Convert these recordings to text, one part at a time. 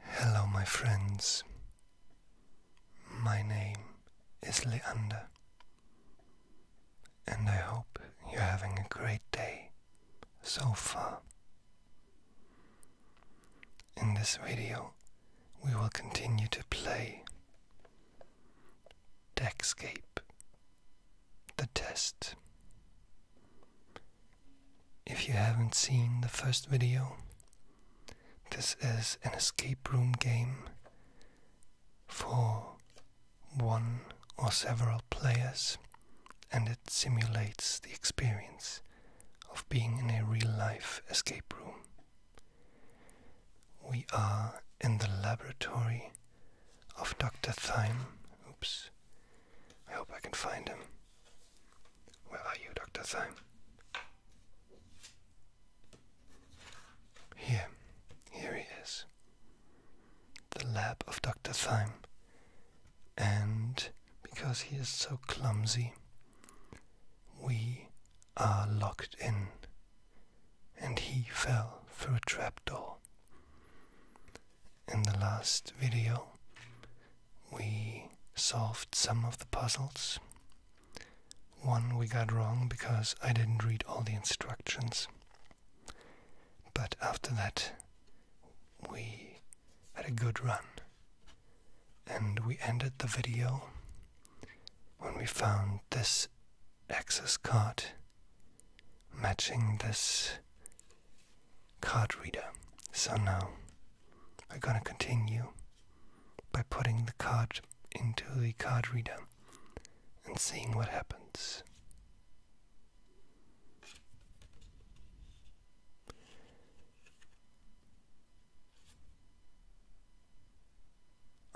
Hello, my friends. My name is Leander, and I hope you're having a great day so far. In this video, we will continue to play Deckscape the test. If you haven't seen the first video, this is an escape room game for one or several players, and it simulates the experience of being in a real life escape room. We are in the laboratory of Dr. Thyme. Oops. I hope I can find him. Where are you, Dr. Thyme? Here. Here he is. The lab of Dr. Thyme. And because he is so clumsy, we are locked in and he fell through a trapdoor. In the last video, we solved some of the puzzles. One we got wrong because I didn't read all the instructions. But after that, we had a good run. And we ended the video when we found this access card matching this card reader. So now I'm going to continue by putting the card into the card reader and seeing what happens.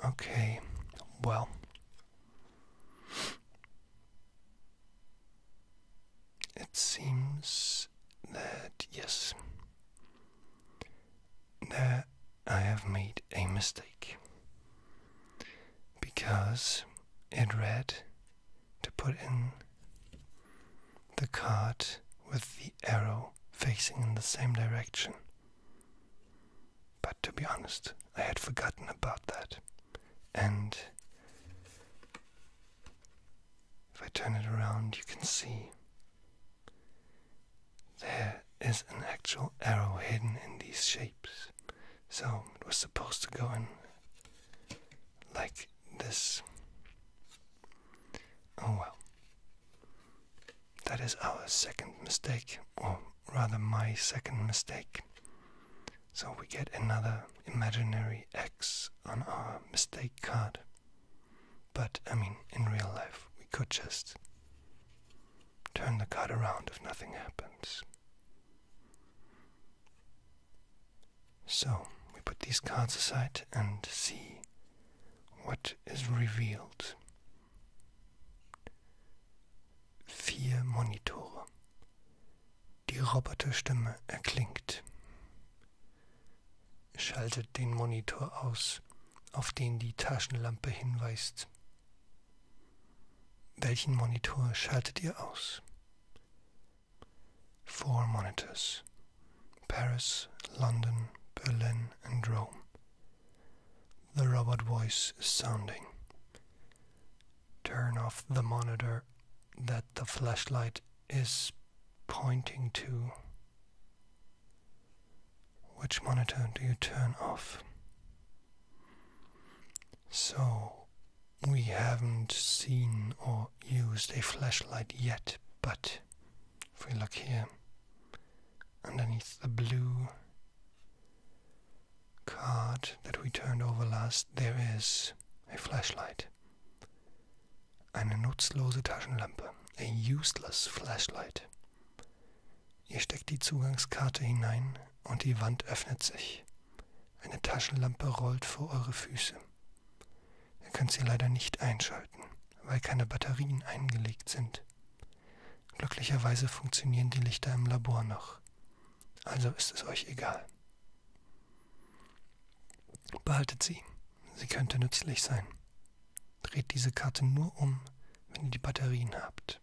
Okay, well, it seems that yes, that I have made a mistake because it read to put in the card with the arrow facing in the same direction to be honest, I had forgotten about that. And if I turn it around, you can see there is an actual arrow hidden in these shapes. So it was supposed to go in like this. Oh well. That is our second mistake, rather my second mistake. So we get another imaginary X on our mistake card. But I mean, in real life, we could just turn the card around if nothing happens. So we put these cards aside and see what is revealed Vier Monitore. Die Roboterstimme erklingt. Schaltet den Monitor aus, auf den die Taschenlampe hinweist. Welchen Monitor schaltet ihr aus? Four monitors. Paris, London, Berlin and Rome. the robot voice is sounding. Turn off the monitor that the flashlight is pointing to. Which monitor do you turn off? So, we haven't seen or used a flashlight yet, but if we look here, underneath the blue card that we turned over last, there is a flashlight. Eine nutzlose Taschenlampe. A useless flashlight. Ihr steckt die Zugangskarte hinein und die Wand öffnet sich. Eine Taschenlampe rollt vor eure Füße. Ihr könnt sie leider nicht einschalten, weil keine Batterien eingelegt sind. Glücklicherweise funktionieren die Lichter im Labor noch. Also ist es euch egal. Behaltet sie. Sie könnte nützlich sein. Dreht diese Karte nur um, wenn ihr die Batterien habt.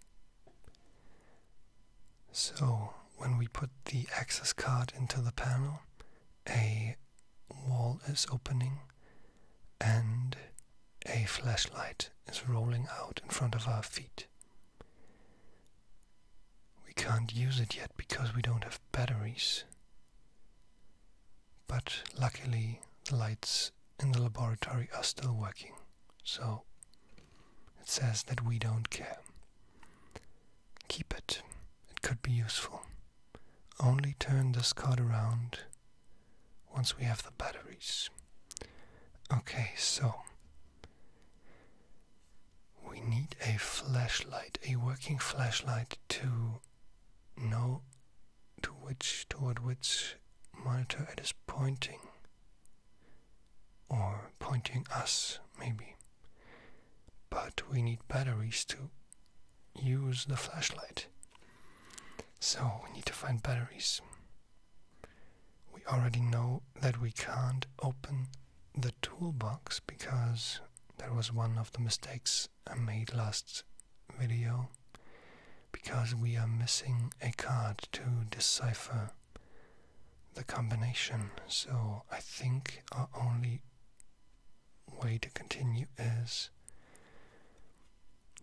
So, when we put the access card into the panel, a wall is opening and a flashlight is rolling out in front of our feet. We can't use it yet because we don't have batteries. But luckily, the lights in the laboratory are still working, so it says that we don't care. Keep it, it could be useful. Only turn this card around once we have the batteries. Okay, so we need a flashlight, a working flashlight to know to which toward which monitor it is pointing or pointing us maybe but we need batteries to use the flashlight so we need to find batteries we already know that we can't open the toolbox because that was one of the mistakes I made last video because we are missing a card to decipher the combination. So I think our only way to continue is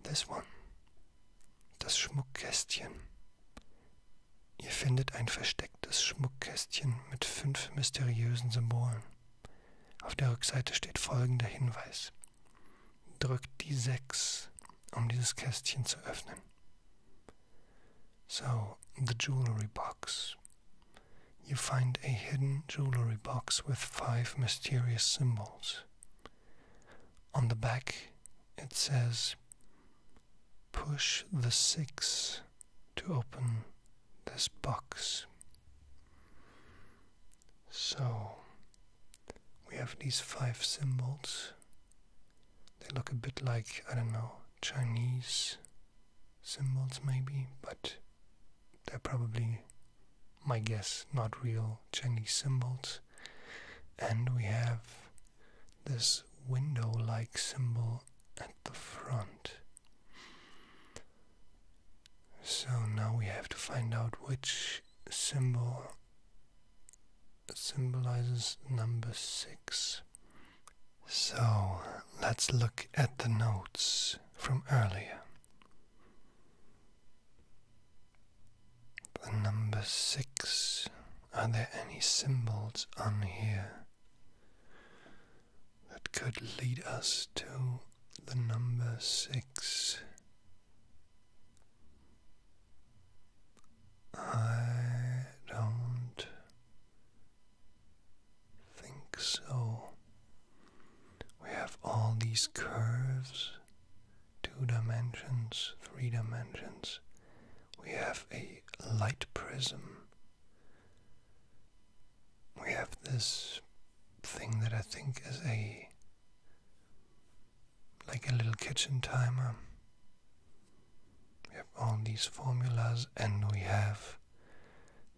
this one. Das Schmuckkästchen. Ihr findet ein verstecktes Schmuckkästchen mit fünf mysteriösen Symbolen. Auf der Rückseite steht folgender Hinweis. Drückt die 6, um dieses Kästchen zu öffnen. So, the jewelry box. You find a hidden jewelry box with five mysterious symbols. On the back, it says push the 6 to open this box. So we have these five symbols. They look a bit like, I don't know, Chinese symbols maybe, but they're probably, my guess, not real Chinese symbols. And we have this window like symbol at the front. So now we have to find out which symbol symbolizes number 6. So let's look at the notes from earlier. The number six. Are there any symbols on here that could lead us to the number six? I don't think so. We have all these curves two dimensions, three dimensions. We have a light prism. We have this thing that I think is a like a little kitchen timer. We have all these formulas and we have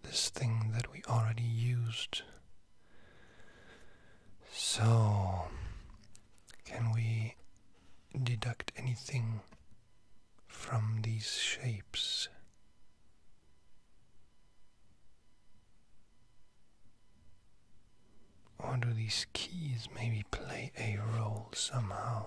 this thing that we already used. So, can we deduct anything from these shapes. Or do these keys maybe play a role somehow?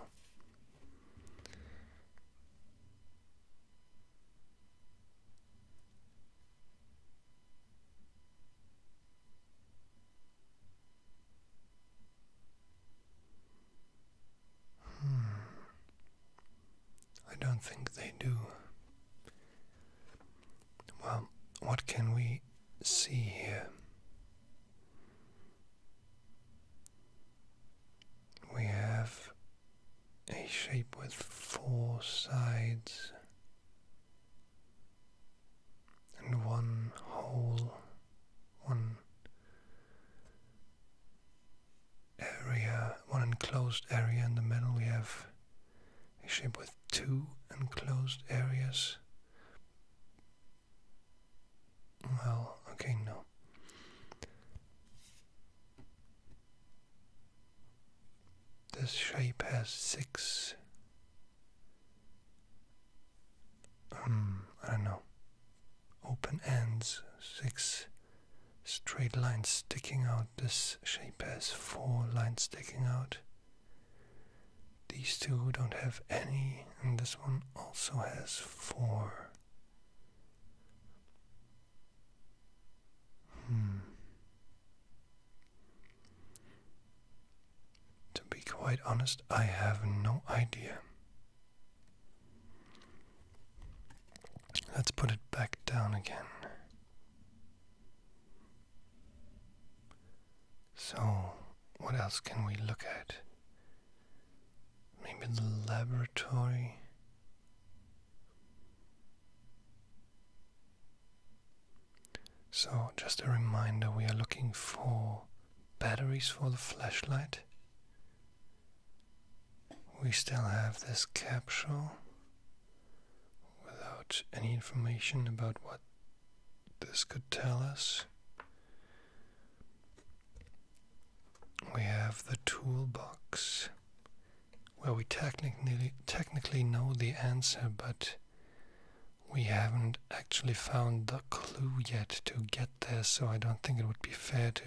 Hmm. I don't think they do. Well, what can we see here? We have a shape with four sides and one whole, one area, one enclosed area in the middle. We have a shape with two enclosed areas. Well, okay, no. This shape has six um, I don't know, open ends, six straight lines sticking out. This shape has four lines sticking out. These two don't have any, and this one also has four. Hmm. To be quite honest, I have no idea. Let's put it back down again. So, what else can we look at? Maybe the laboratory? So, just a reminder we are looking for batteries for the flashlight. We still have this capsule without any information about what this could tell us. We have the toolbox where we technically technically know the answer but we haven't actually found the clue yet to get there, so I don't think it would be fair to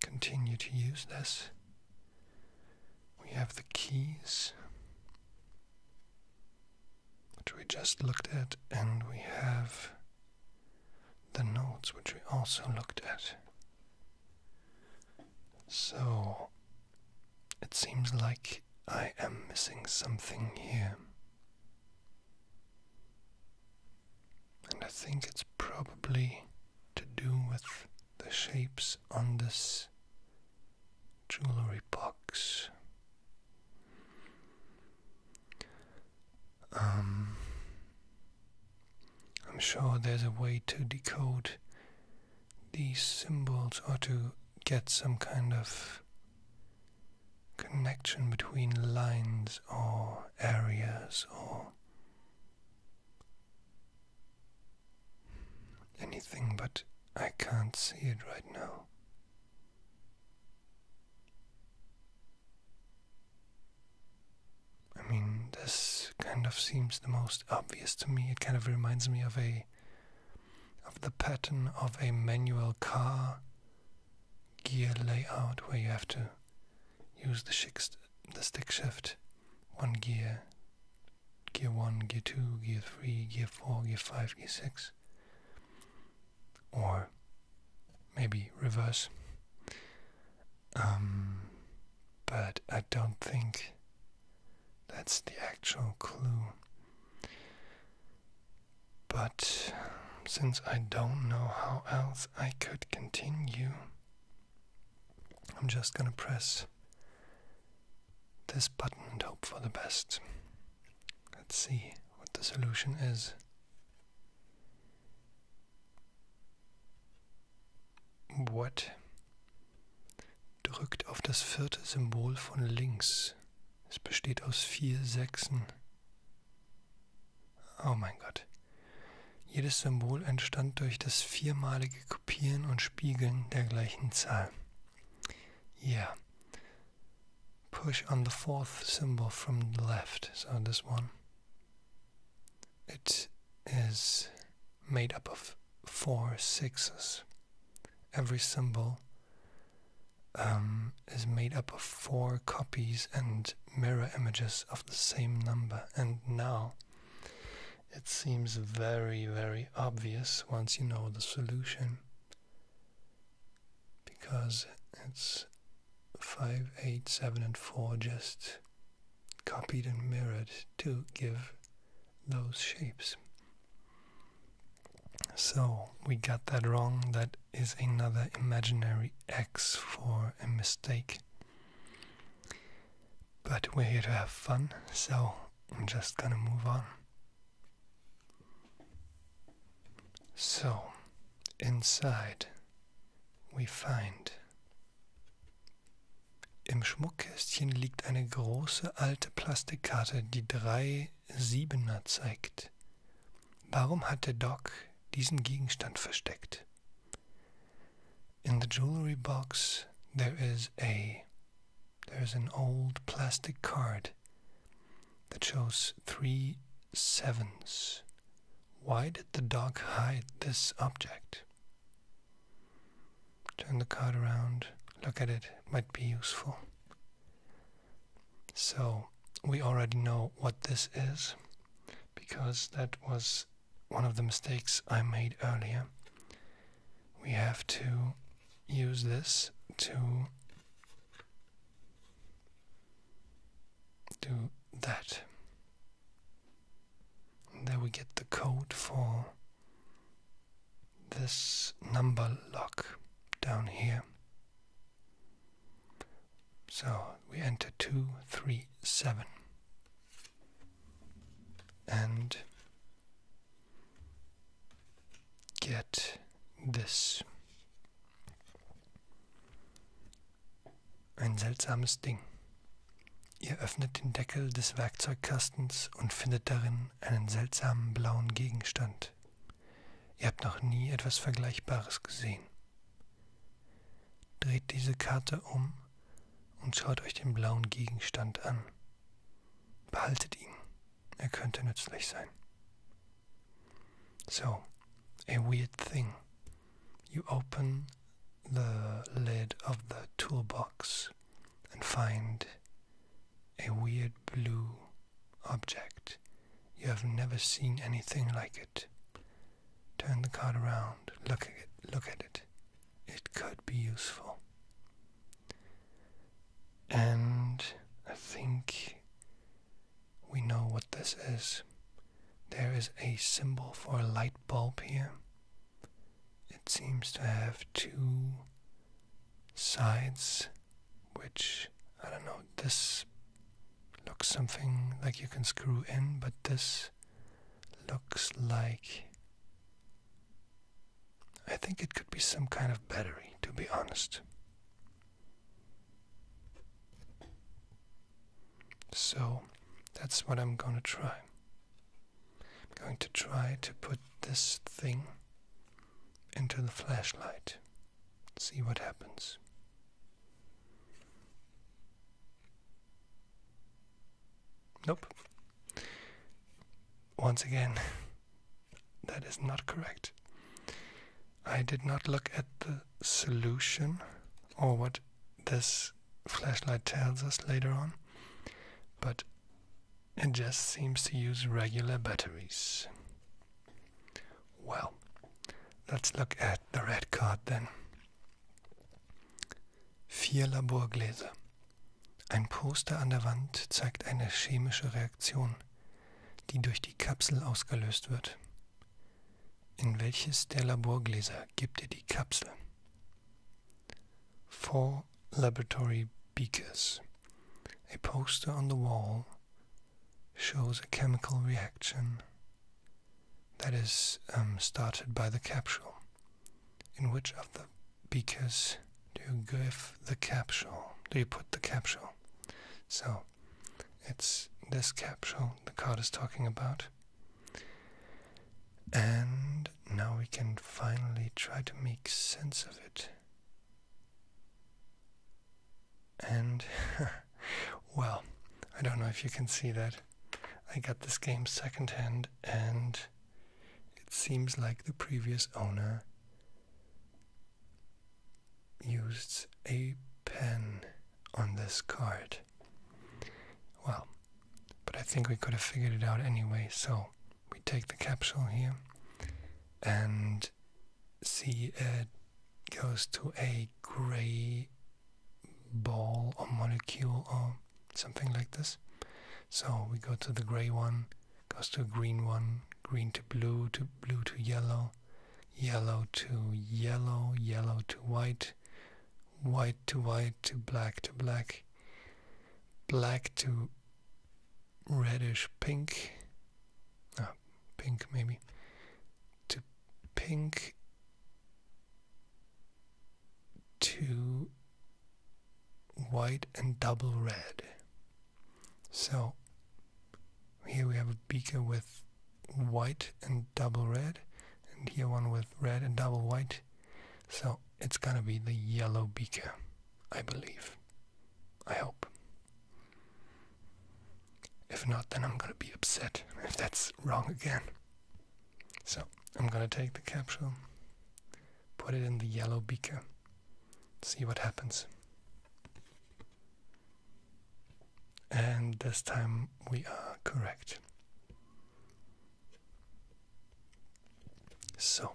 continue to use this. We have the keys, which we just looked at, and we have the notes, which we also looked at. So, it seems like I am missing something here. And I think it's probably to do with the shapes on this jewelry box. Um, I'm sure there's a way to decode these symbols or to get some kind of connection between lines or areas or anything, but I can't see it right now. I mean, this kind of seems the most obvious to me. It kind of reminds me of a of the pattern of a manual car gear layout where you have to use the, stick shift, one gear, gear 1, gear 2, gear 3, gear 4, gear 5, gear 6, or maybe reverse. Um, but I don't think that's the actual clue. But since I don't know how else I could continue, I'm just gonna press this button and hope for the best. Let's see what the solution is. What? Drückt auf das vierte Symbol von links. Es besteht aus vier Sechsen. Oh mein Gott. Jedes Symbol entstand durch das viermalige Kopieren und Spiegeln der gleichen Zahl. Yeah. Push on the fourth symbol from the left, so this one. It is made up of four sixes. Every symbol Um, is made up of four copies and mirror images of the same number. And now it seems very, very obvious once you know the solution because it's 5, 8, 7, and 4 just copied and mirrored to give those shapes. So we got that wrong. That is another imaginary X for a mistake. But we're here to have fun, so I'm just gonna move on. So, inside we find. Im Schmuckkästchen liegt eine große alte Plastikkarte, die drei Siebener zeigt nicht. Warum hatte Doc diesen Gegenstand versteckt? In the jewelry box there is a there is an old plastic card that shows three sevens. Why did the dog hide this object? Turn the card around, look at it, might be useful. So we already know what this is because that was one of the mistakes I made earlier. We have to use this to do that. And there we get the code for this number lock down here. So we enter 237. And get this. Ein seltsames Ding. Ihr öffnet den Deckel des Werkzeugkastens und findet darin einen seltsamen blauen Gegenstand. Ihr habt noch nie etwas Vergleichbares gesehen. Dreht diese Karte um und schaut euch den blauen Gegenstand an. Behaltet ihn. Er könnte nützlich sein. So, a weird thing. You open the lid of the toolbox and find a weird blue object. You have never seen anything like it. Turn the card around, look at it, look at it. It could be useful. And I think we know what this is. There is a symbol for a light bulb here. It seems to have two sides, which I don't know, this looks something like you can screw in, but this looks like I think it could be some kind of battery, to be honest. So that's what I'm gonna try. I'm going to try to put this thing into the flashlight. See what happens. Nope. Once again, that is not correct. I did not look at the solution or what this flashlight tells us later on, but It just seems to use regular batteries. Well, let's look at the red card then. Vier Laborgläser. Ein Poster an der Wand zeigt eine chemische Reaktion, die durch die Kapsel ausgelöst wird. In welches der Laborgläser gibt ihr die Kapsel? Four Laboratory Beakers. A poster on the wall shows a chemical reaction that is um, started by the capsule. In which of the beakers do you give the capsule? Do you put the capsule? So it's this capsule the card is talking about. And now we can finally try to make sense of it. And, well, I don't know if you can see that. I got this game secondhand, and it seems like the previous owner used a pen on this card. Well, but I think we could have figured it out anyway, so we take the capsule here and see it goes to a gray ball or molecule or something like this. So we go to the gray one, goes to a green one, green to blue, to blue to yellow, yellow to yellow, yellow to white, white to white to black to black, black to reddish pink, ah, pink maybe, to pink to white and double red. So here we have a beaker with white and double red, and here one with red and double white. So it's gonna be the yellow beaker, I believe. I hope. If not, then I'm going to be upset if that's wrong again. So I'm going to take the capsule, put it in the yellow beaker, see what happens. And this time we are correct. So,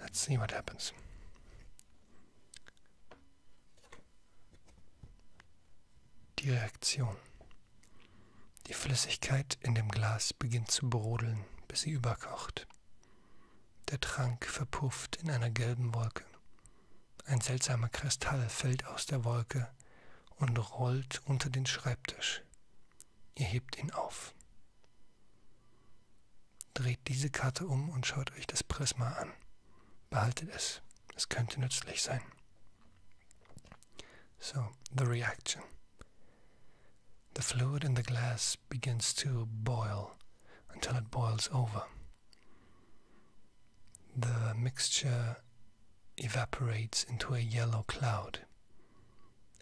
let's see what happens. Die Reaktion. Die Flüssigkeit in dem Glas beginnt zu brodeln, bis sie überkocht. Der Trank verpufft in einer gelben Wolke. Ein seltsamer Kristall fällt aus der Wolke und rollt unter den Schreibtisch. Ihr hebt ihn auf. Dreht diese Karte um und schaut euch das Prisma an. Behaltet es. Es könnte nützlich sein. So, the reaction. The fluid in the glass begins to boil until it boils over. The mixture evaporates into a yellow cloud.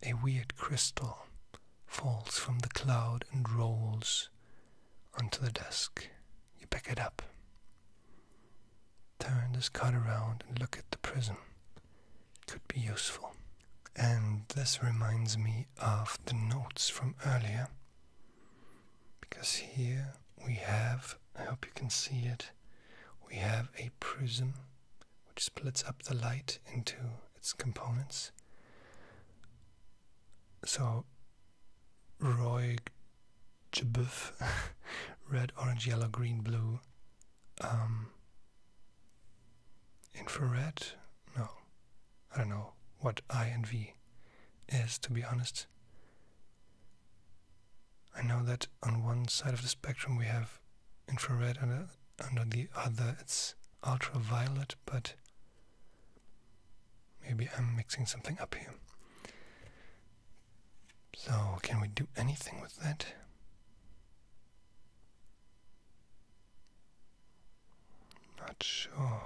A weird crystal falls from the cloud and rolls onto the desk. You pick it up. Turn this card around and look at the prism. Could be useful. And this reminds me of the notes from earlier. Because here we have, I hope you can see it, we have a prism which splits up the light into its components. So Roy Jabuf, red, orange, yellow, green, blue, um, infrared? No, I don't know what I and V is to be honest. I know that on one side of the spectrum we have infrared and and uh, on the other it's ultraviolet, but Maybe I'm mixing something up here. So, can we do anything with that? Not sure.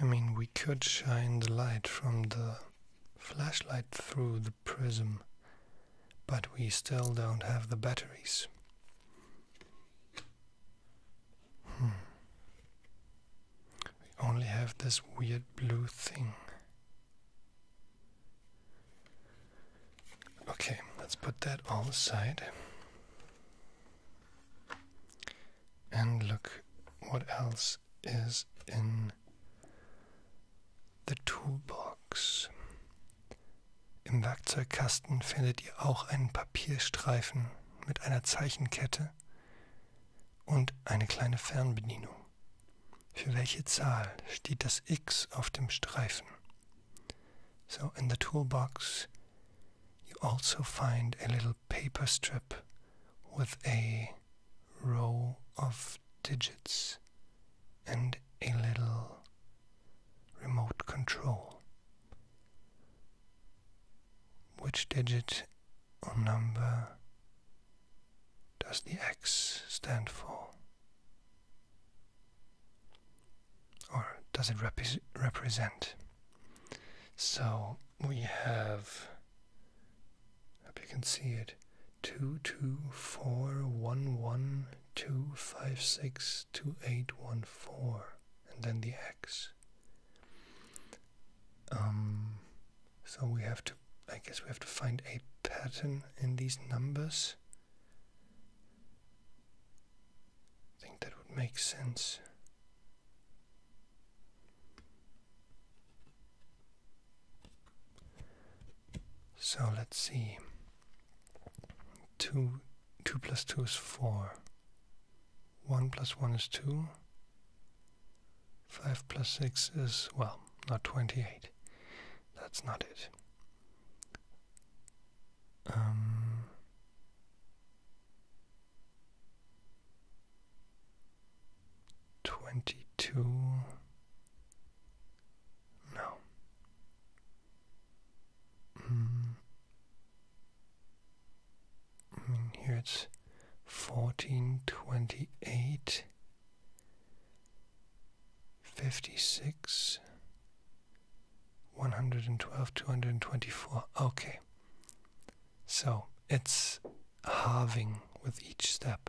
I mean, we could shine the light from the flashlight through the prism but we still don't have the batteries. Hmm. We only have this weird blue thing. Okay, let's put that all aside. And look what else is in in The Toolbox. Im Werkzeugkasten findet ihr auch einen Papierstreifen mit einer Zeichenkette und eine kleine Fernbedienung. Für welche Zahl steht das X auf dem Streifen? So in the toolbox you also find a little paper strip with a row of digits and a little remote control. Which digit or number does the X stand for? Or does it represent? So we have, hope you can see it, two two four one one two five six two eight one four and then the x. Um, so we have to, I guess we have to find a pattern in these numbers. I think that would make sense. So let's see. Two two plus two is four. One plus one is two. Five plus six is well, not twenty-eight. That's not it. Um twenty-two no. Mm. I mean, here it's fourteen twenty eight, fifty six, one hundred and twelve, two hundred and twenty four. Okay. So it's halving with each step.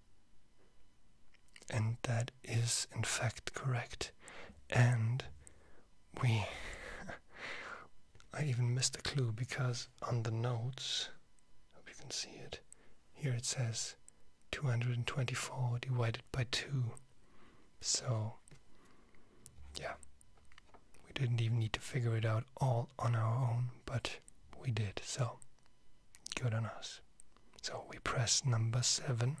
And that is in fact correct. And we. I even missed a clue because on the notes, hope you can see it, here it says 224 divided by 2. So, yeah, we didn't even need to figure it out all on our own, but we did, so Good on us. So we press number seven.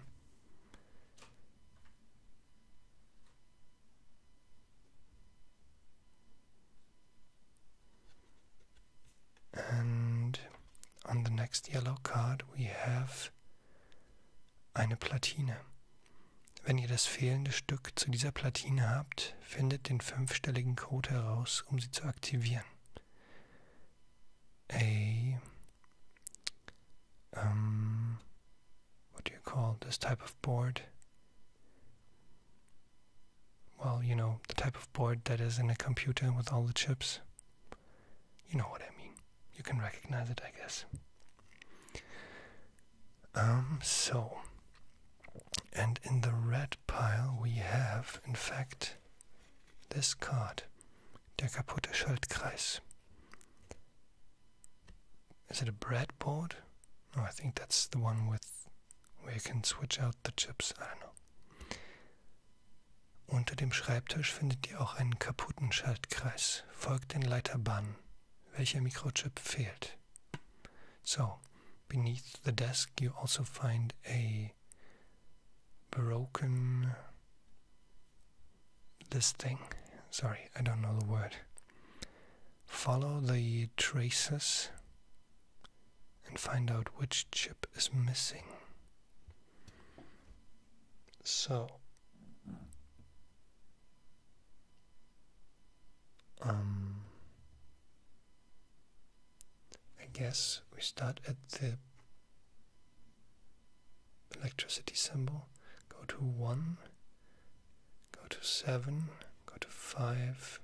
And on the next yellow card we have eine Platine. Wenn ihr das fehlende Stück zu dieser Platine habt, findet den fünfstelligen Code heraus, um sie zu aktivieren. a um what do you call this type of board? Well, you know, the type of board that is in a computer with all the chips. You know what I mean. You can recognize it, I guess. Um, so, and in the red pile we have, in fact, this card. Der kaputte Schaltkreis. Is it a breadboard? No, I think that's the one with where you can switch out the chips. I don't know. Unter dem Schreibtisch findet ihr auch einen kaputten Schaltkreis. Folgt den Leiterbahnen. Welcher Mikrochip fehlt? So, beneath the desk you also find a broken. This thing, sorry, I don't know the word. Follow the traces and find out which chip is missing. So, um, I guess we start at the electricity symbol, go to 1, go to 7, go to 5,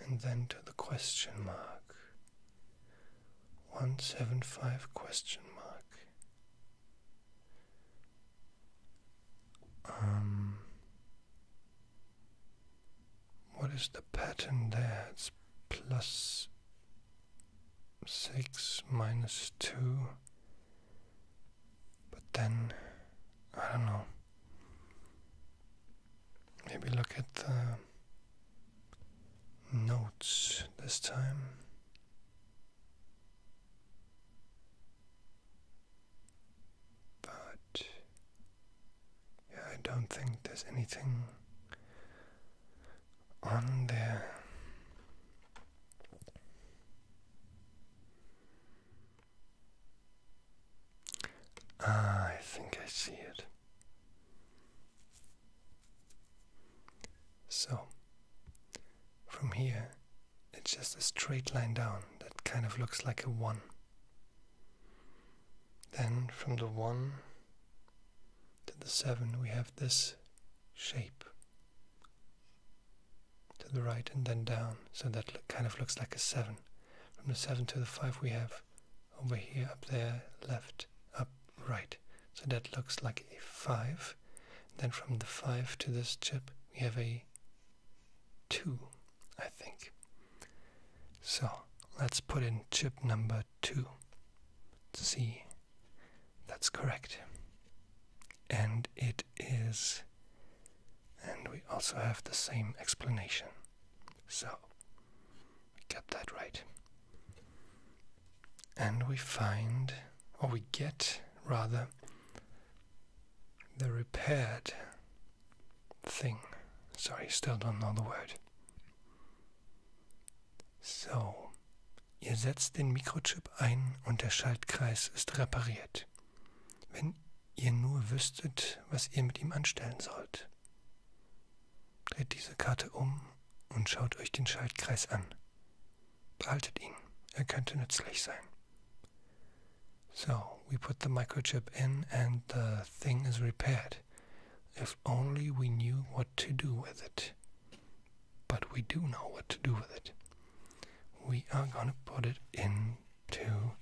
and then to the question mark. 175 question mark. Um, what is the pattern there? It's plus 6 minus 2. But then, I don't know. Maybe look at the notes this time. But yeah, I don't think there's anything on ah, I think I see it. So, from here, it's just a straight line down that kind of looks like a 1. Then from the 1 to the seven, we have this shape to the right and then down, so that kind of looks like a seven. From the seven to the five, we have over here, up there, left, up, right, so that looks like a five. Then from the five to this chip, we have a two, I think. So let's put in chip number two. C. That's correct. And it is. And we also have the same explanation. So, we get that right. And we find, or we get rather, the repaired thing. Sorry, still don't know the word. So, ihr setzt den Mikrochip ein und der Schaltkreis ist repariert. Wenn ihr nur wüsstet, was ihr mit ihm anstellen sollt. Dreht diese Karte um und schaut euch den Schaltkreis an. Behaltet ihn, er könnte nützlich sein. So, we put the microchip in and the thing is repaired. if only we knew what to do with it. But we do know what to do with it. We are gonna put it into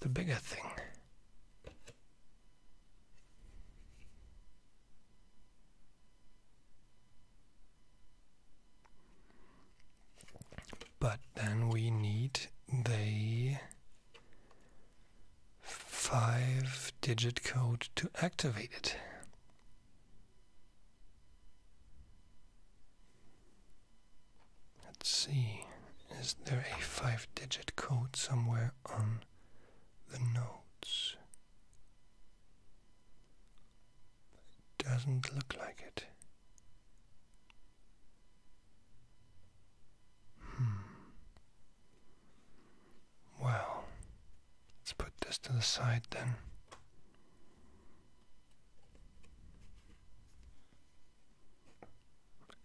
the bigger thing. But then we need the five digit code to activate it. Let's see, is there a five digit code somewhere on the notes? Doesn't look like it. Hmm. Well, let's put this to the side then.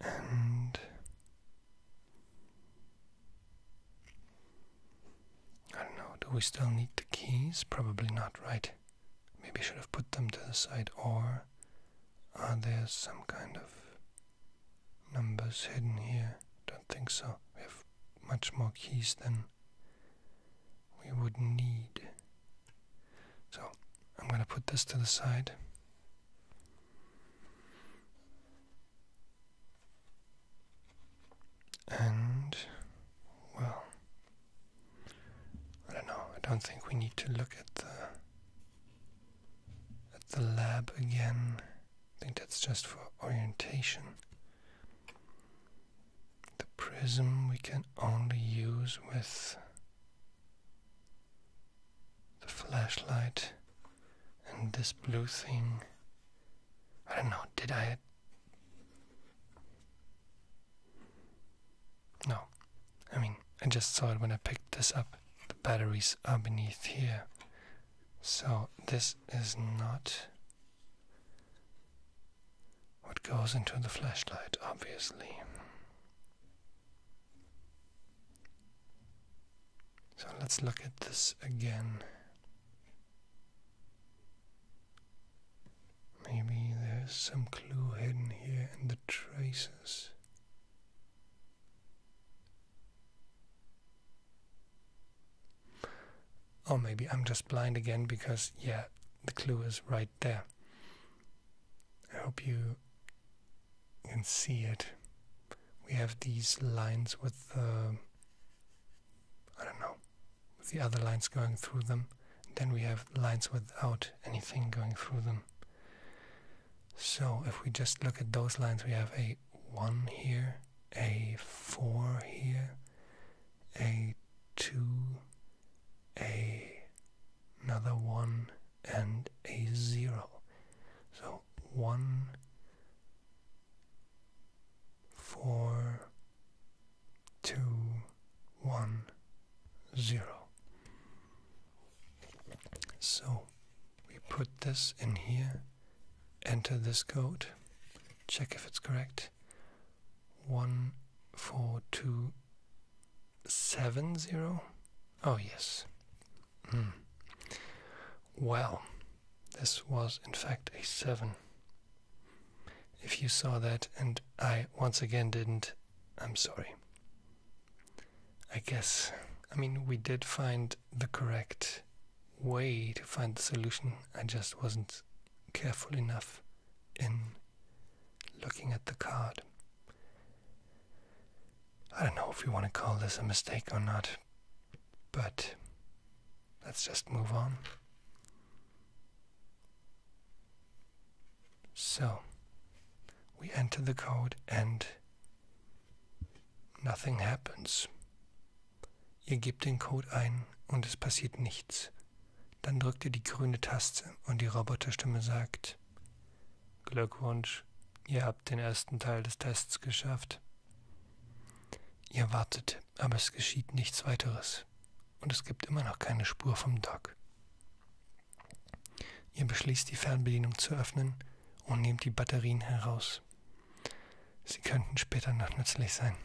And I don't know, do we still need the keys? Probably not, right? Maybe I should have put them to the side, or are there some kind of numbers hidden here. Don't think so. We have much more keys than we would need. So I'm going to put this to the side. And, well, I don't know. I don't think we need to look at the at the lab again. I think that's just for orientation. The prism we can only use with the flashlight and this blue thing. I don't know, did I? No, I mean, I just saw it when I picked this up. The batteries are beneath here. So this is not what goes into the flashlight, obviously. So let's look at this again. Maybe there's some clue hidden here in the traces. Or oh, maybe I'm just blind again because, yeah, the clue is right there. I hope you can see it. We have these lines with the, um, I don't know, with the other lines going through them. Then we have lines without anything going through them. So if we just look at those lines, we have a 1 here, a4 here, a2, a another 1, and a0. So 1, 4, 2, 1, 0. So we put this in here enter this code, check if it's correct. 14270. Oh, yes. Hmm. Well, this was in fact a 7. If you saw that and I once again didn't, I'm sorry. I guess, I mean, we did find the correct way to find the solution. I just wasn't careful enough in looking at the card. I don't know if you want to call this a mistake or not, but let's just move on. So we enter the code and Nothing happens. Ihr gebt den Code ein und es passiert nichts. Dann drückt ihr die grüne Taste und die Roboterstimme sagt, Glückwunsch, ihr habt den ersten Teil des Tests geschafft. Ihr wartet, aber es geschieht nichts weiteres und es gibt immer noch keine Spur vom Dock. Ihr beschließt die Fernbedienung zu öffnen und nehmt die Batterien heraus. Sie könnten später noch nützlich sein.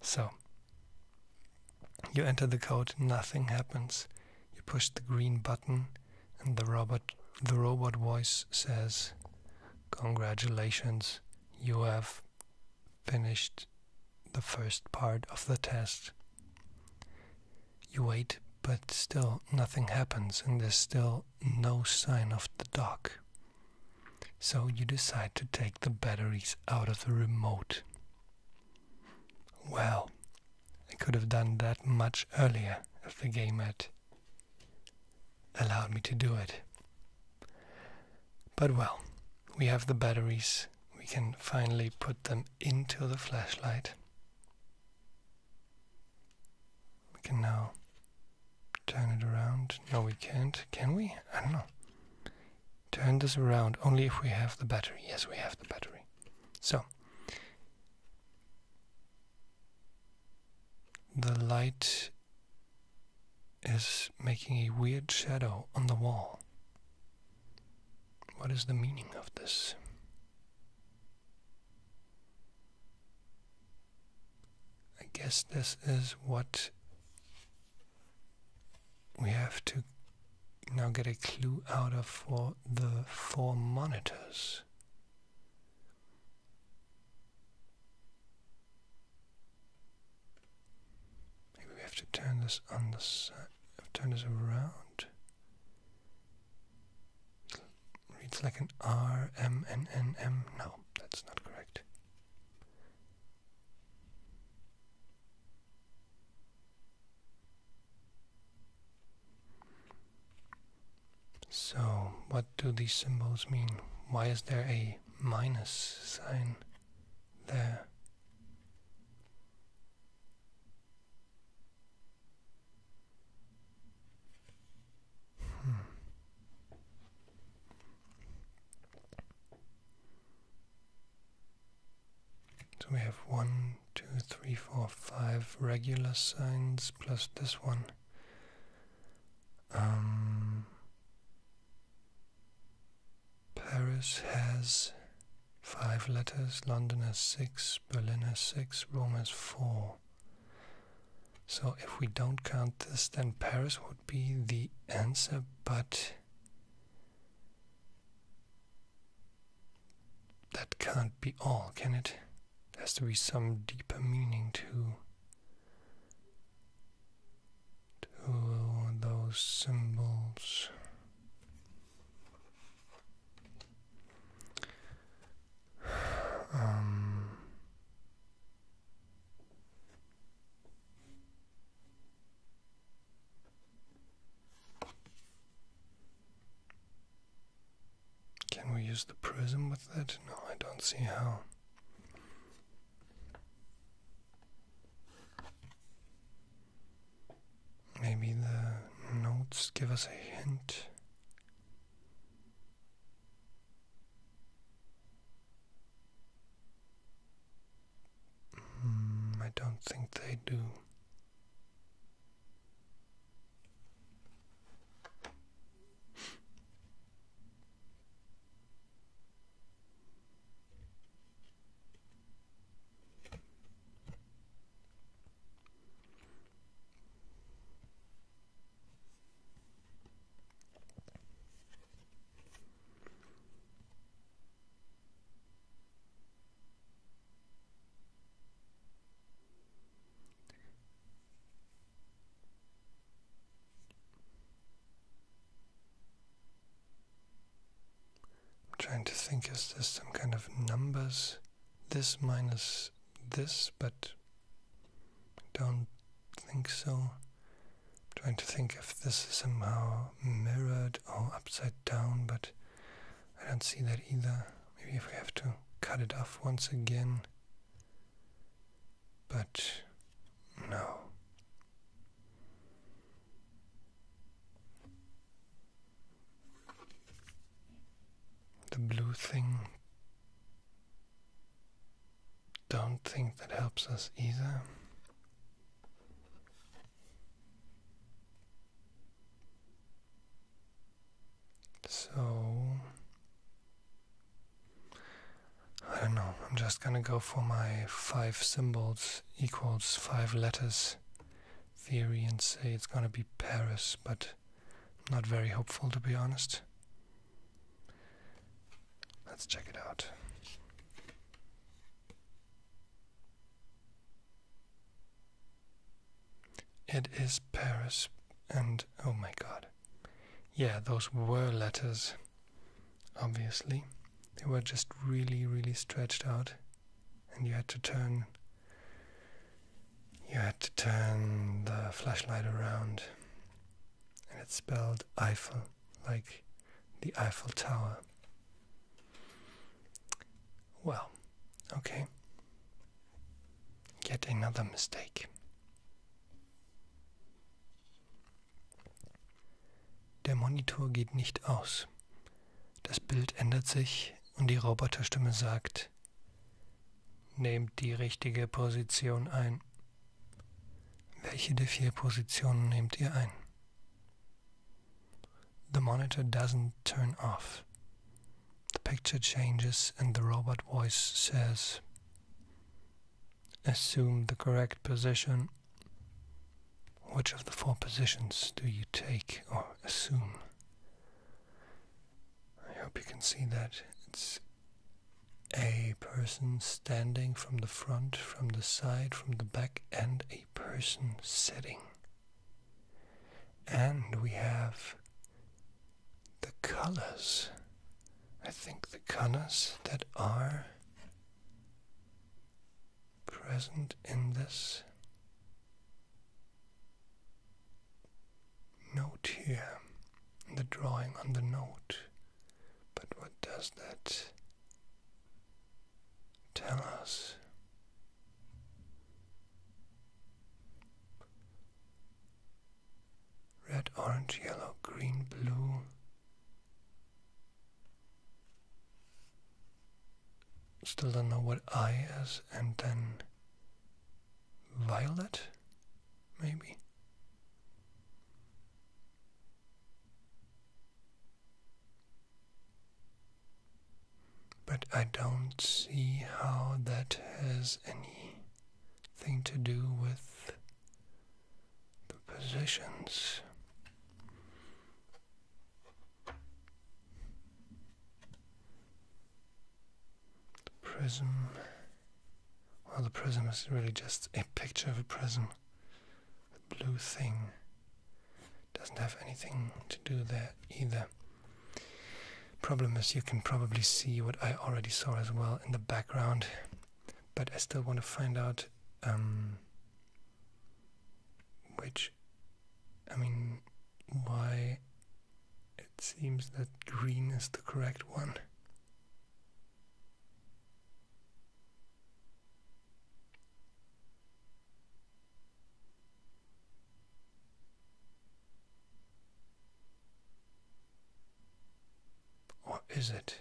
So, you enter the code, nothing happens. You push the green button, and the robot, the robot voice says, Congratulations, you have finished the first part of the test. You wait, but still nothing happens, and there's still no sign of the dock. So you decide to take the batteries out of the remote. Well, I could have done that much earlier if the game had allowed me to do it. But well, we have the batteries, we can finally put them into the flashlight. We can now turn it around. No, we can't. Can we? I don't know. Turn this around only if we have the battery. Yes, we have the battery. So, the light is making a weird shadow on the wall. What is the meaning of this? I guess this is what we have to now get a clue out of for the four monitors. Maybe we have to turn this on the side. Turn this around. Reads like an R, M, N, N, M. No, that's not correct. So, what do these symbols mean? Why is there a minus sign there? Hmm. So we have one, two, three, four, five regular signs plus this one. Um, Paris has five letters, London has six, Berlin has six, Rome has four. So if we don't count this, then Paris would be the answer, but that can't be all, can it? There has to be some deeper meaning to, to those symbols. can we use the prism with that? No, I don't see how. Maybe the notes give us a hint. Hmm, I don't think they do. I'm trying to think, is this some kind of numbers? This minus this, but don't think so. I'm trying to think if this is somehow mirrored or upside down, but I don't see that either. Maybe if we have to cut it off once again. But no the blue thing don't think that helps us either. So I don't know, I'm just gonna go for my five symbols equals five letters theory and say it's gonna be Paris, but not very hopeful, to be honest. Let's check it out. It is Paris, and oh my god. Yeah, those were letters, obviously. They were just really, really stretched out, and you had to turn you had to turn the flashlight around, and it spelled Eiffel, like the Eiffel Tower. Well, okay. Yet another mistake. Der Monitor geht nicht aus. Das Bild ändert sich und die Roboterstimme sagt, Nehmt die richtige Position ein. Welche der vier Positionen nehmt ihr ein? The monitor doesn't turn off. The picture changes and the robot voice says, Assume the correct position. Which of the four positions do you take or assume? I hope you can see that it's a person standing from the front, from the side, from the back, and a person sitting. And we have the colors. I think the colors that are present in this note here, the drawing on the note. But what does that tell us? Red, orange, yellow, green, blue. Still don't know what I is, and then violet maybe. But I don't see how that has anything to do with the positions. The prism. Well, the prism is really just a picture of a prism. The blue thing. Doesn't have anything to do there either. Problem is, you can probably see what I already saw as well in the background, but I still want to find out um, which, I mean, why it seems that green is the correct one. Or is it?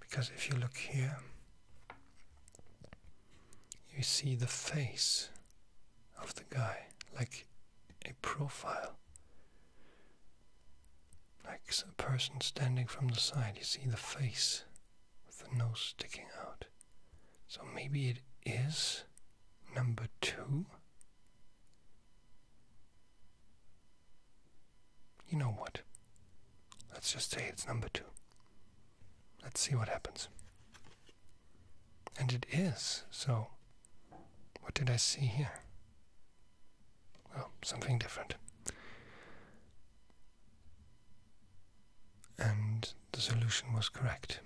Because if you look here, you see the face of the guy, like a profile, like a person standing from the side. You see the face with the nose sticking out. So maybe it is number two. You know what? Let's just say it's number two. Let's see what happens. And it is, so What did I see here? Well, something different. And the solution was correct.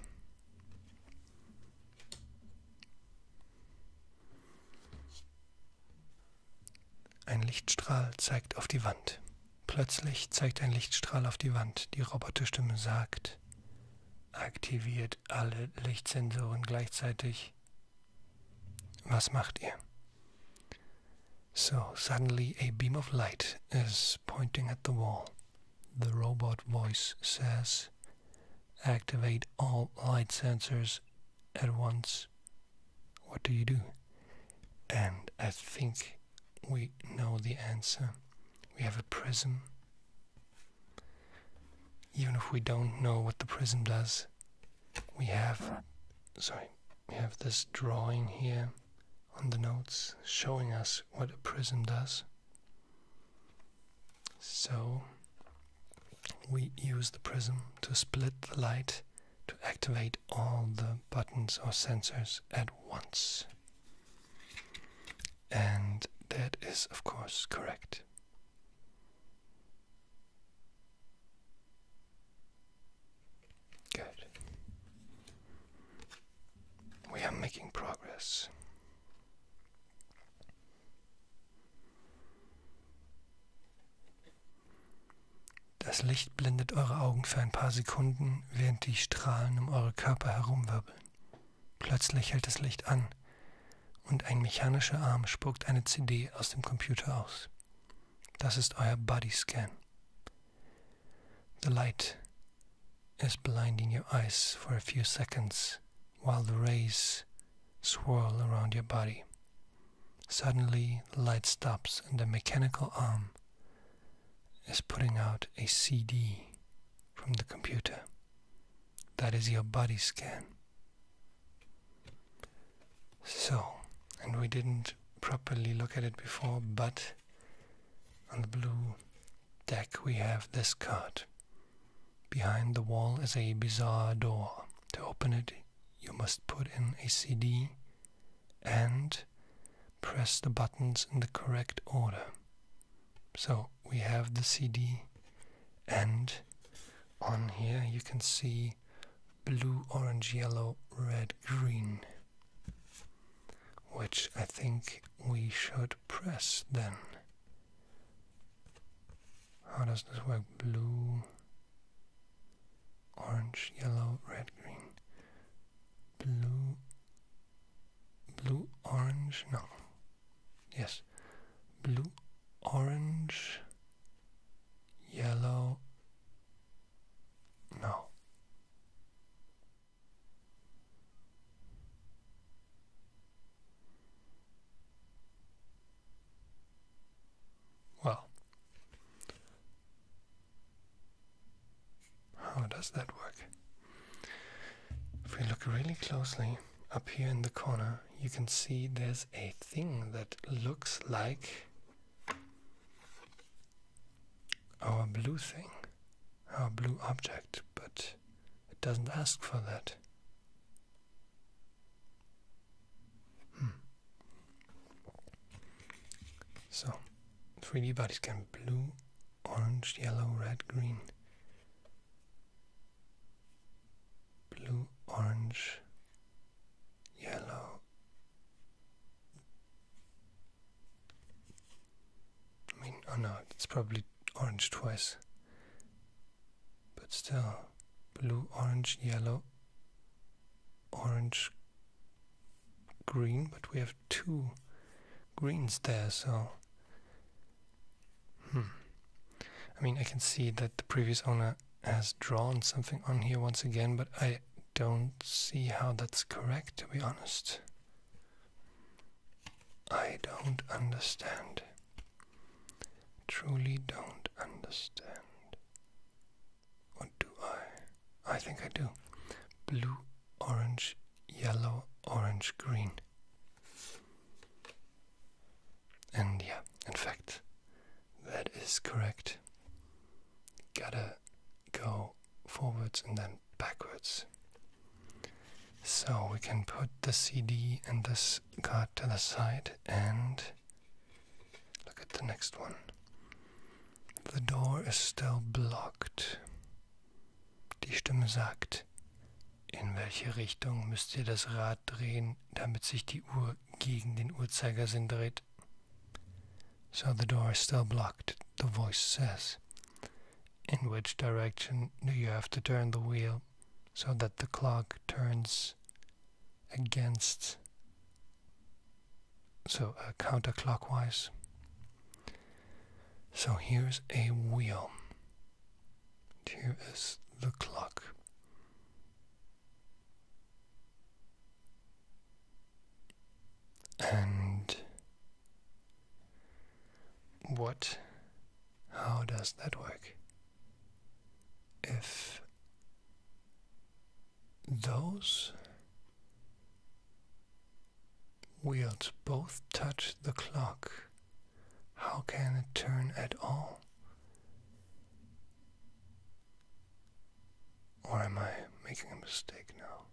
Ein Lichtstrahl zeigt auf die Wand. Plötzlich zeigt ein Lichtstrahl auf die Wand. Die Roboterstimme sagt, aktiviert alle Lichtsensoren gleichzeitig. Was macht ihr? So, suddenly a beam of light is pointing at the wall. The robot voice says, Activate all light sensors at once. What do you do? And I think we know the answer. We have a prism even if we don't know what the prism does, we have sorry, we have this drawing here on the notes showing us what a prism does. So we use the prism to split the light to activate all the buttons or sensors at once. And that is, of course, correct. Good. We are making progress. Das Licht blendet eure Augen für ein paar Sekunden, während die Strahlen um eure Körper herumwirbeln. Plötzlich hält das Licht an und ein mechanischer Arm spuckt eine CD aus dem Computer aus. Das ist euer Body Scan. The light is blinding your eyes for a few seconds while the rays swirl around your body. Suddenly, the light stops and the mechanical arm is putting out a CD from the computer. That is your body scan. So, and we didn't properly look at it before, but on the blue deck we have this card. Behind the wall is a bizarre door. To open it, you must put in a CD and press the buttons in the correct order. So we have the CD and on here you can see blue, orange, yellow, red, green, which I think we should press then. How does this work? Blue, orange, yellow, red, green. Blue, blue, orange, no. Yes, blue, orange, yellow. No. Well, how does that work? If we look really closely up here in the corner, you can see there's a thing that looks like our blue thing, our blue object, but it doesn't ask for that. Hmm. So, 3D bodies can blue, orange, yellow, red, green blue, orange, yellow, I mean, oh no, it's probably orange twice, but still blue, orange, yellow, orange, green, but we have two greens there, so Hmm. I mean, I can see that the previous owner has drawn something on here once again, but I don't see how that's correct, to be honest. I don't understand. Truly don't understand. What do I? I think I do. Blue, orange, yellow, orange, green. And yeah, in fact, that is correct. Gotta go forwards and then backwards. So we can put the CD and this card to the side and look at the next one. The door is still blocked. Die Stimme sagt, in welche Richtung müsst ihr das Rad drehen, damit sich die Uhr gegen den Uhrzeigersinn dreht? So the door is still blocked, the voice says. In which direction do you have to turn the wheel so that the clock turns against? So uh, counterclockwise. So here's a wheel. Here is the clock. And what? How does that work? If those wheels both touch the clock how can it turn at all? Or am I making a mistake now?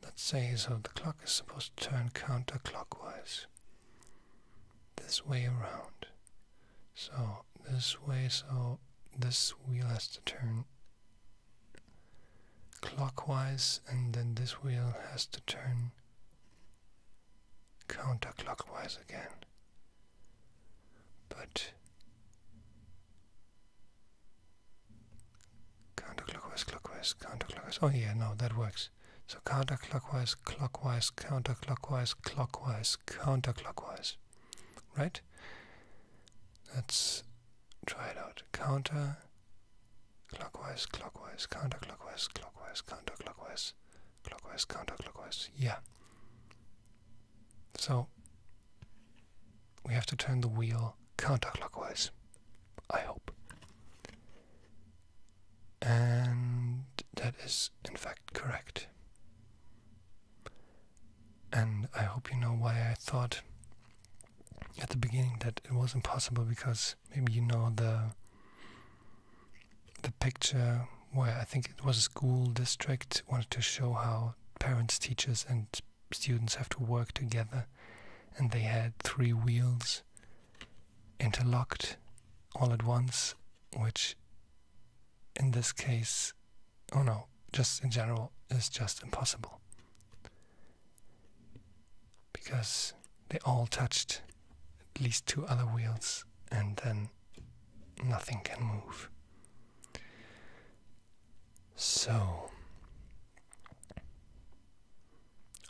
That says how the clock is supposed to turn counterclockwise. This way around. So this way, so this wheel has to turn clockwise, and then this wheel has to turn counterclockwise again. But counterclockwise, clockwise, counterclockwise. Oh, yeah, no, that works. So counterclockwise, clockwise, counterclockwise, clockwise, counterclockwise. Right? Let's try it out. Counter Clockwise, clockwise, counterclockwise, clockwise, counterclockwise, clockwise, counterclockwise. Yeah. So we have to turn the wheel counterclockwise. I hope. And that is, in fact, correct. And I hope you know why I thought at the beginning that it was impossible because maybe you know the the picture where I think it was a school district wanted to show how parents, teachers, and students have to work together, and they had three wheels interlocked all at once, which in this case, oh no, just in general, is just impossible because they all touched at least two other wheels and then nothing can move. So,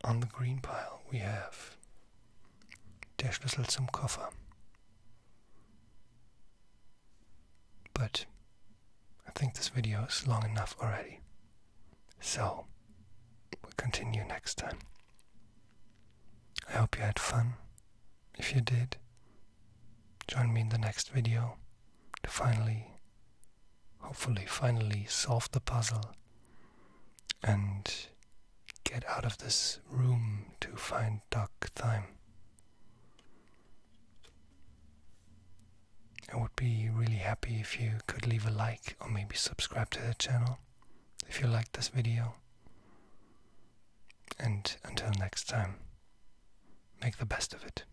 on the green pile we have Der Schlüssel zum Koffer. But I think this video is long enough already. So, we'll continue next time. I hope you had fun. If you did, join me in the next video to finally, hopefully, finally solve the puzzle and get out of this room to find Doc Thyme. I would be really happy if you could leave a like or maybe subscribe to the channel if you liked this video. And until next time, make the best of it.